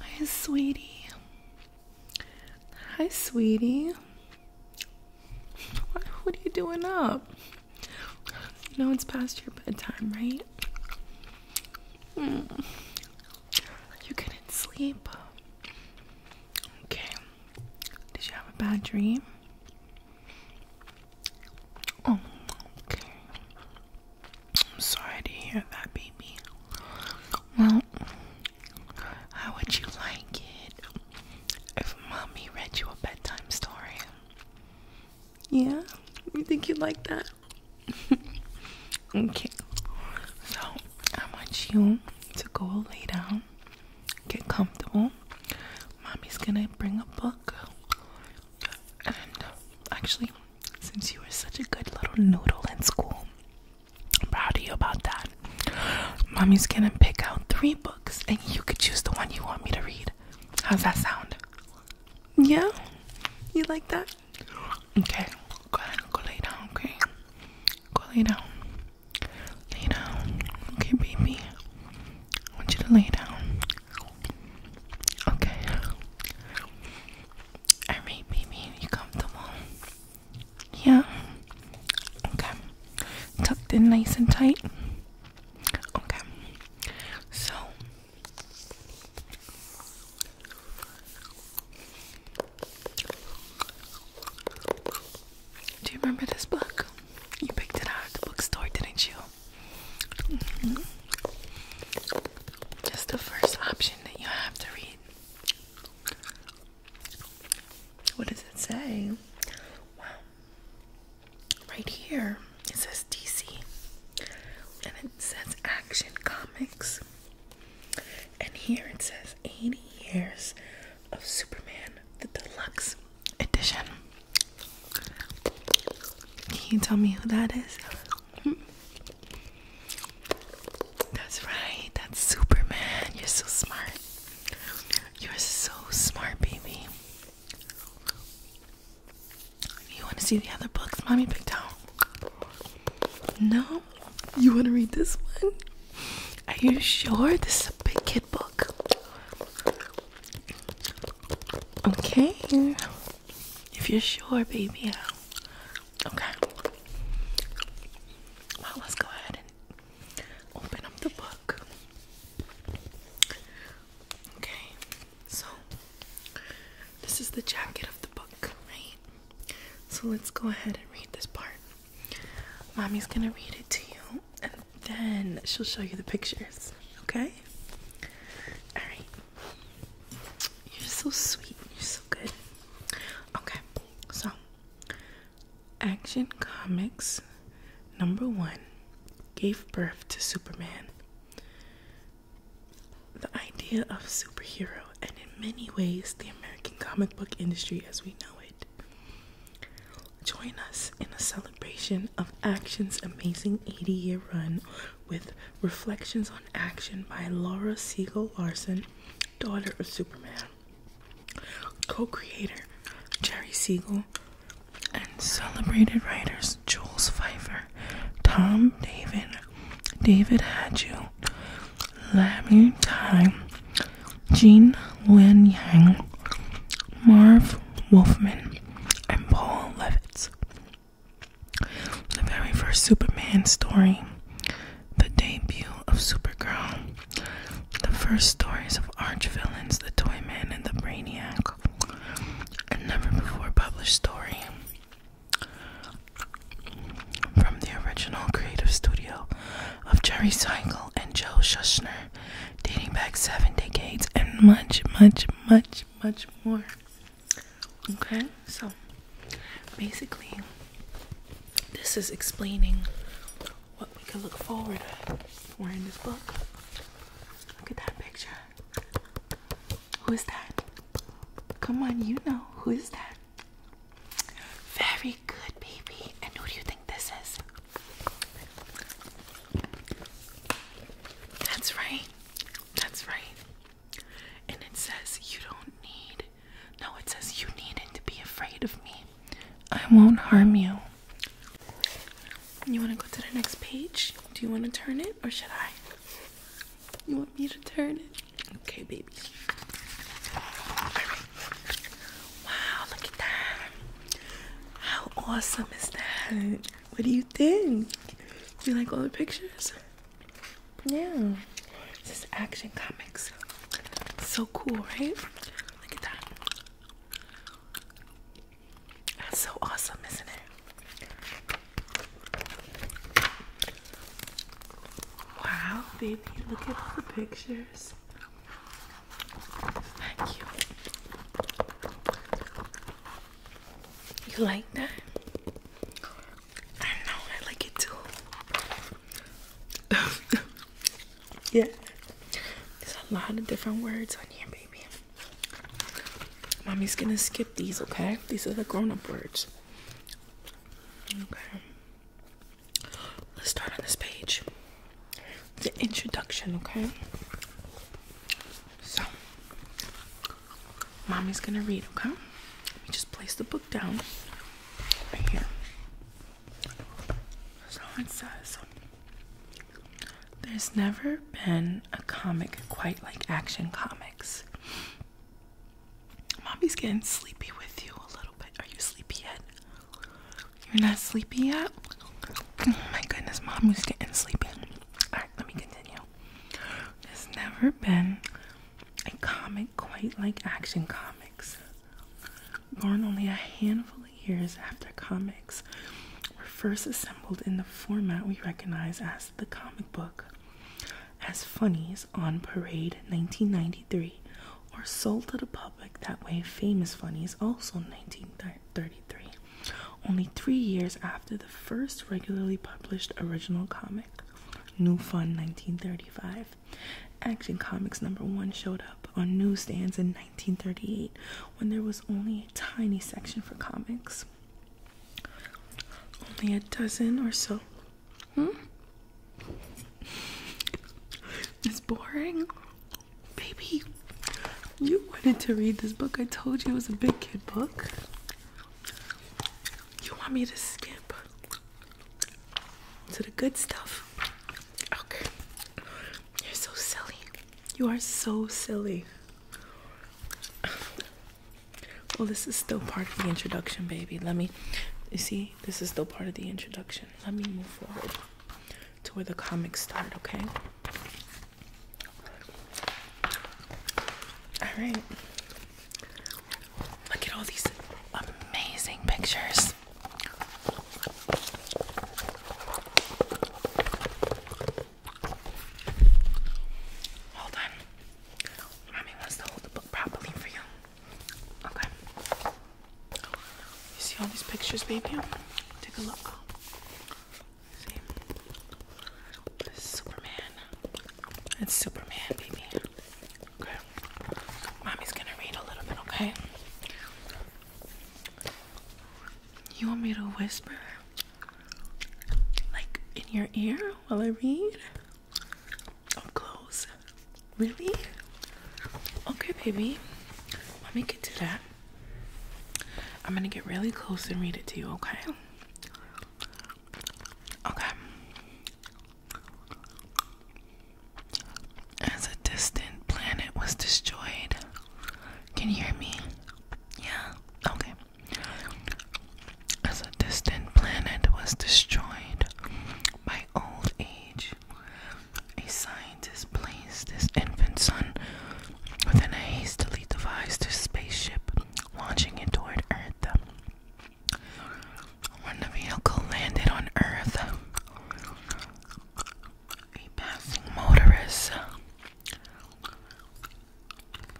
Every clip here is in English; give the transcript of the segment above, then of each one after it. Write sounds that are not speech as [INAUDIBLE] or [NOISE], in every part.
Hi, sweetie. Hi, sweetie. What, are you doing up? No know it's past your bedtime, right? Hmm. You couldn't sleep. Okay. Did you have a bad dream? Oh, I'm sorry to hear that, baby. Well, how would you like it if mommy read you a bedtime story? Yeah? You think you'd like that? [LAUGHS] okay. So, I want you to go lay down, get comfortable. Mommy's gonna bring a book. And actually, since you were such a good little noodle in school. I'm proud of you about that. Mommy's gonna pick out three books and you could choose the one you want me to read. How's that sound? Yeah? You like that? Okay, go lay down, okay? Go lay down. Lay down. Okay, baby. I want you to lay down. Okay. I mean, you comfortable. Yeah. Okay. Tucked in nice and tight. Okay. So. Do you remember this book? You picked it out at the bookstore, didn't you? Mm Just the first option that you have to read. What does it say? Wow. Right here it says DC and it says Action Comics. And here it says 80 years of Superman the Deluxe Edition. Can you tell me who that is? Hmm. That's right. That's Superman. You're so smart. You're so smart, baby. You want to see the other books mommy picked out? No? You want to read this one? Are you sure? This is a big kid book. Okay. If you're sure, baby. Yeah. Okay. Well, let's go ahead and open up the book. Okay. So, this is the jacket of the book, right? So, let's go ahead and read this part. Mommy's gonna read it to you, and then she'll show you the pictures, okay? Alright. You're so sweet. You're so good. Okay, so Action Comics number one gave birth to Superman. The idea of superhero, and in many ways, the American comic book industry as we know it. Join us in a celebration of Action's amazing 80 year run with Reflections on Action by Laura Siegel Larson, daughter of Superman, co creator Jerry Siegel, and celebrated writers Jules Pfeiffer, Tom David, David Hadju, Lammy Tai, Jean Lin Yang, Marv Wolfman, and Paul Levitz. The very first Superman story, the debut of Supergirl, the first stories of arch villains, the Toyman and the Brainiac, a never before published story from the original creative studio of Jerry Seinkel and Joe Shuster, dating back seven decades and much, much, much, much more. Okay, so basically, this is explaining what we can look forward for in this book. Look at that picture. Who is that? Come on, you know who is that? Very good, baby. And who do you think this is? That's right. That's right. And it says, You don't need, no, it says, You needn't to be afraid of me. I won't harm you. You want to go to the next page? Do you want to turn it or should I? You want me to turn it? Okay, baby. Wow, look at that. How awesome is that? What do you think? Do you like all the pictures? Yeah. This is Action Comics. So cool, right? Look at that. That's so awesome, isn't it? Wow, baby, look at all the pictures. Thank you. You like that? I know, I like it too. [LAUGHS] yeah, there's a lot of different words on here, baby. Mommy's gonna skip these, okay? These are the grown up words. Okay. Let's start on this page. The introduction, okay? So, Mommy's gonna read, okay? Let me just place the book down right here. So it says There's never been a comic quite like action comics. Mommy's getting sleepy with you a little bit. Are you sleepy yet? You're not sleepy yet? Oh my goodness, Mommy's getting sleepy. Alright, let me continue. There's never been a comic quite like Action Comics. Born only a handful of years after comics were first assembled in the format we recognize as the comic book, as funnies on Parade 1993, or sold to the public that way, Famous Funnies also 1933, only three years after the first regularly published original comics. New Fun 1935. Action Comics number one showed up on newsstands in 1938 when there was only a tiny section for comics. Only a dozen or so. Hmm? It's boring. Baby, you wanted to read this book. I told you it was a big kid book. You want me to skip? to the good stuff. Okay. You're so silly. You are so silly. Well, this is still part of the introduction, baby. Let me, you see, this is still part of the introduction. Let me move forward to where the comics start, okay? All right. Look at all these amazing pictures. Hold on. Mommy wants to hold the book properly for you. Okay. You see all these pictures, baby? Take a look. See? Superman. It's Superman, baby. Okay. Mommy's gonna read a little bit, okay? You want me to whisper? Like in your ear while I read? close. Really? Okay, baby. Mommy can do that. I'm gonna get really close and read it to you, okay? Okay. As a distant planet was destroyed. Can you hear me? Yeah, okay. As a distant planet was destroyed by old age, a scientist placed his infant son within a hastily devised spaceship, launching it toward Earth. When the vehicle landed on Earth, a passing motorist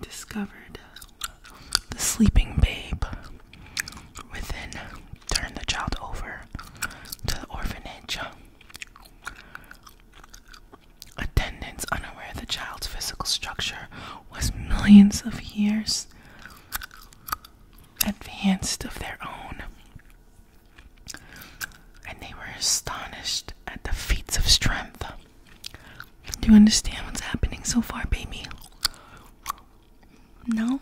discovered the sleeping babe within, turned the child over to the orphanage. Attendants, unaware the child's physical structure was millions of years advanced of their own, and they were astonished at the feats of strength. Do you understand what's happening so far, baby? No,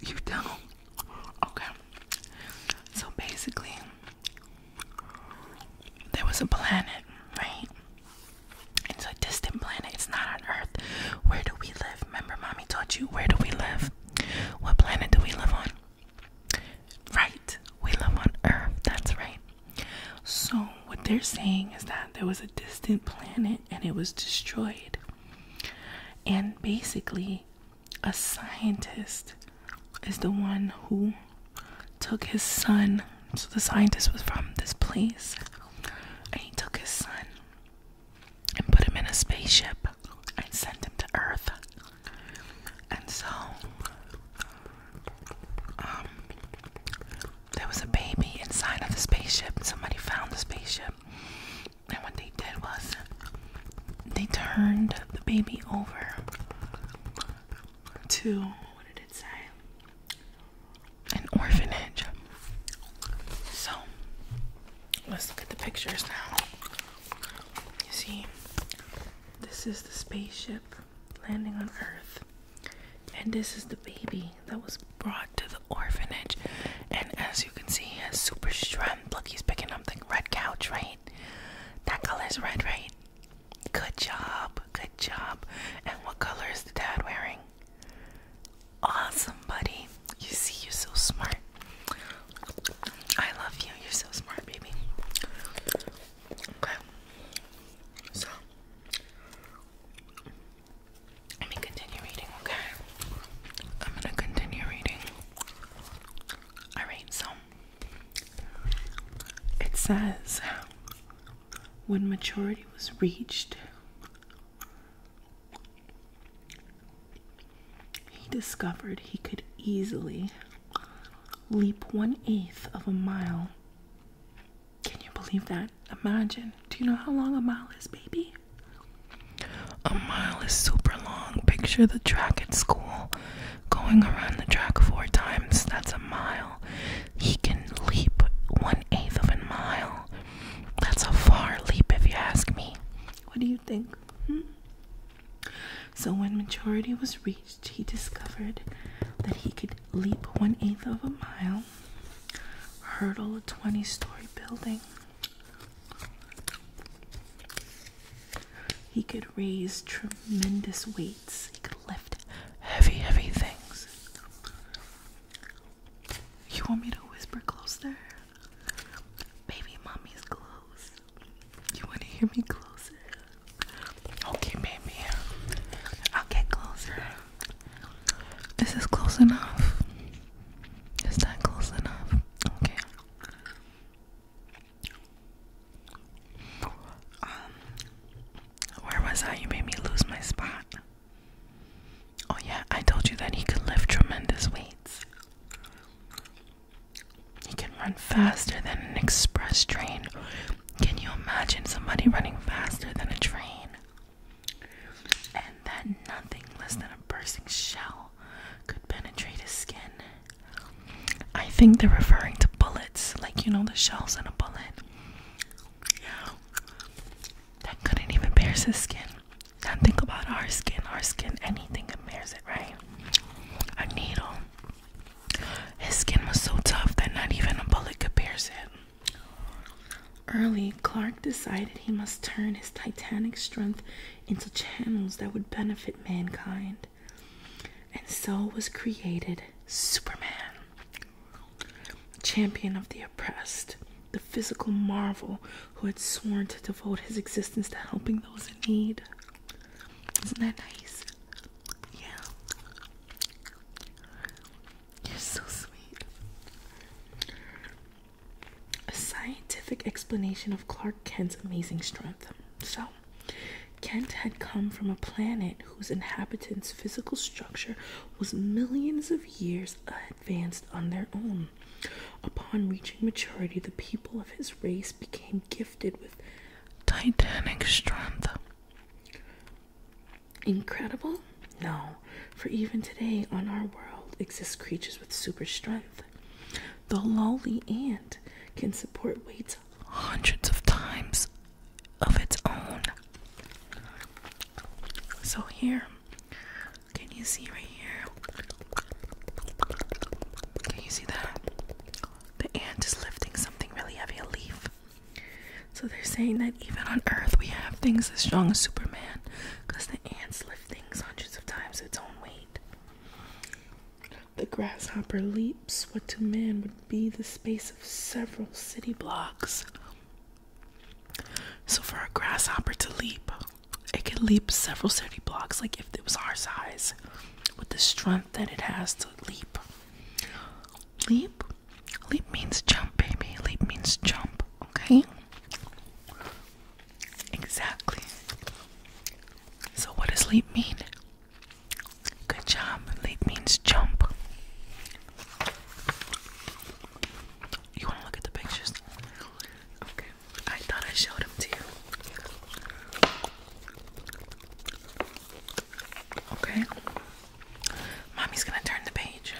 you don't. Okay, so basically, there was a planet, right? It's a distant planet. It's not on Earth. Where do we live? Remember, mommy taught you. Where do we live? What planet do we live on? Right. We live on Earth. That's right. So, what they're saying is that there was a distant planet and it was destroyed. And basically, a scientist is the one who took his son. So, the scientist was from this place. And he took his son and put him in a spaceship and sent him to Earth. And so, um, there was a baby inside of the spaceship, somebody found the spaceship. And what they did was they turned the baby over to what did it say? an orphanage. So let's look at the pictures now. You see, this is the spaceship landing on Earth, and this is the baby that was brought to the orphanage. And as you can see, he has super strength. Look, he's picking up the red couch, right? That color is red, right? Good job, good job. And what color is the dad wearing? Awesome, buddy. You see, you're so smart. I love you. You're so smart, baby. Okay. So, let me continue reading, okay? I'm gonna continue reading. Alright, so it says when maturity was reached, he discovered he could easily leap one eighth of a mile. Can you believe that? Imagine. Do you know how long a mile is, baby? A mile is super long. Picture the track at school going around the track four times. That's a mile. He can leap one eighth of a mile. That's a far leap, if you ask me. What do you think? Hmm? So, when maturity was reached, he discovered that he could leap one eighth of a mile, hurdle a 20 story building, he could raise tremendous weights, he could lift heavy, heavy things. You want me to whisper closer? Baby, mommy's close. You want to hear me closer? Okay, baby. I'll get closer. Is this close enough? Is that close enough? Okay. Um, where was I? You made me lose my spot. Oh, yeah, I told you that he could lift tremendous weights. He can run faster than an express train. Can you imagine somebody running faster than a train? And that nothing less than a bursting shell could penetrate his skin. I think they're referring to bullets, like you know, the shells in a bullet. That couldn't even pierce his skin. And think about our skin, our skin, anything compares it, right? A needle. His skin was so tough that not even a bullet could pierce it. Early, Clark decided he must turn his titanic strength into channels that would benefit mankind. And so was created Superman, champion of the oppressed, the physical marvel who had sworn to devote his existence to helping those in need. Isn't that nice? Yeah. You're so sweet. A scientific explanation of Clark Kent's amazing strength. So, Kent had come from a planet whose inhabitants' physical structure was millions of years advanced on their own. Upon reaching maturity, the people of his race became gifted with titanic strength. Incredible? No, for even today on our world exist creatures with super strength. The lowly ant can support weights hundreds of times of its own. So here can you see right here? Can you see that? The ant is lifting something really heavy, a leaf. So they're saying that even on Earth we have things as strong as Superman because the ants lift things hundreds of times its own weight. The grasshopper leaps what to man would be the space of several city blocks. So for a grasshopper to leap, it can leap several city blocks, like if it was our size, with the strength that it has to leap. Leap, leap means jump, baby. Leap means jump. Okay. Exactly. So what does leap mean? Good job. Leap means jump. You want to look at the pictures? Okay, I thought I showed him to you. Okay, mommy's gonna turn the page.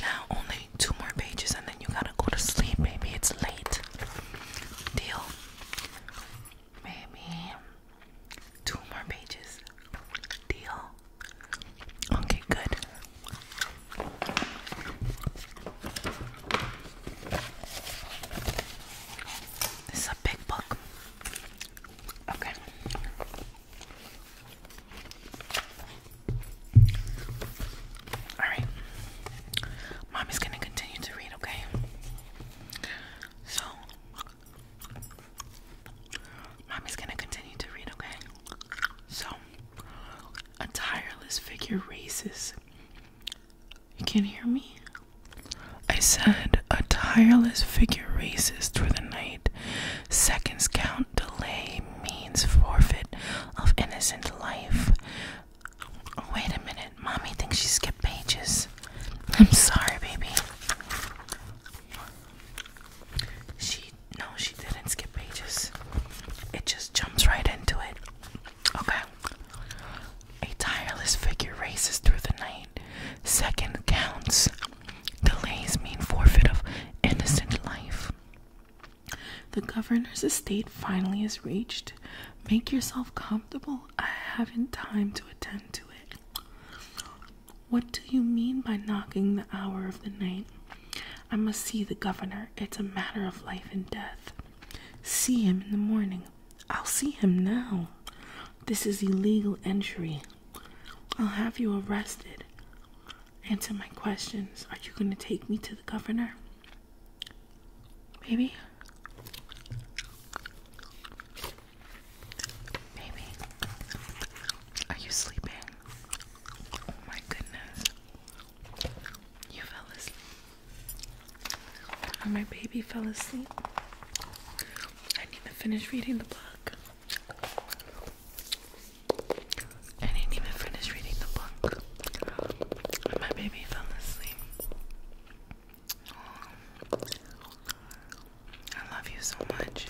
Now, only two more pages, and then you gotta go to sleep, baby. It's late. Deal. Maybe two more pages. Deal. Okay, good. This is a big book. Okay. Alright. Mommy's gonna continue to read, okay? So Mommy's gonna continue to read, okay? So, a tireless figure races. You can't hear me? I said, a tireless figure races through the night. Seconds count, delay means forfeit of innocent life. wait a minute, mommy thinks she skipped pages. I'm sorry, baby. She no she didn't skip pages. It just jumps right into it. Okay. A tireless figure races through the night. Second counts. Delays mean forfeit of innocent life. The governor's estate finally is reached. Make yourself comfortable. I haven't time to attend to it. What do you mean by knocking the hour of the night? I must see the governor. It's a matter of life and death. See him in the morning. I'll see him now. This is illegal entry. I'll have you arrested. Answer my questions. Are you going to take me to the governor? Baby? Baby? Are you sleeping? Oh my goodness. You fell asleep. my baby fell asleep. I need to finish reading the book. I didn't even finish reading the book. my baby fell asleep. I love you so much.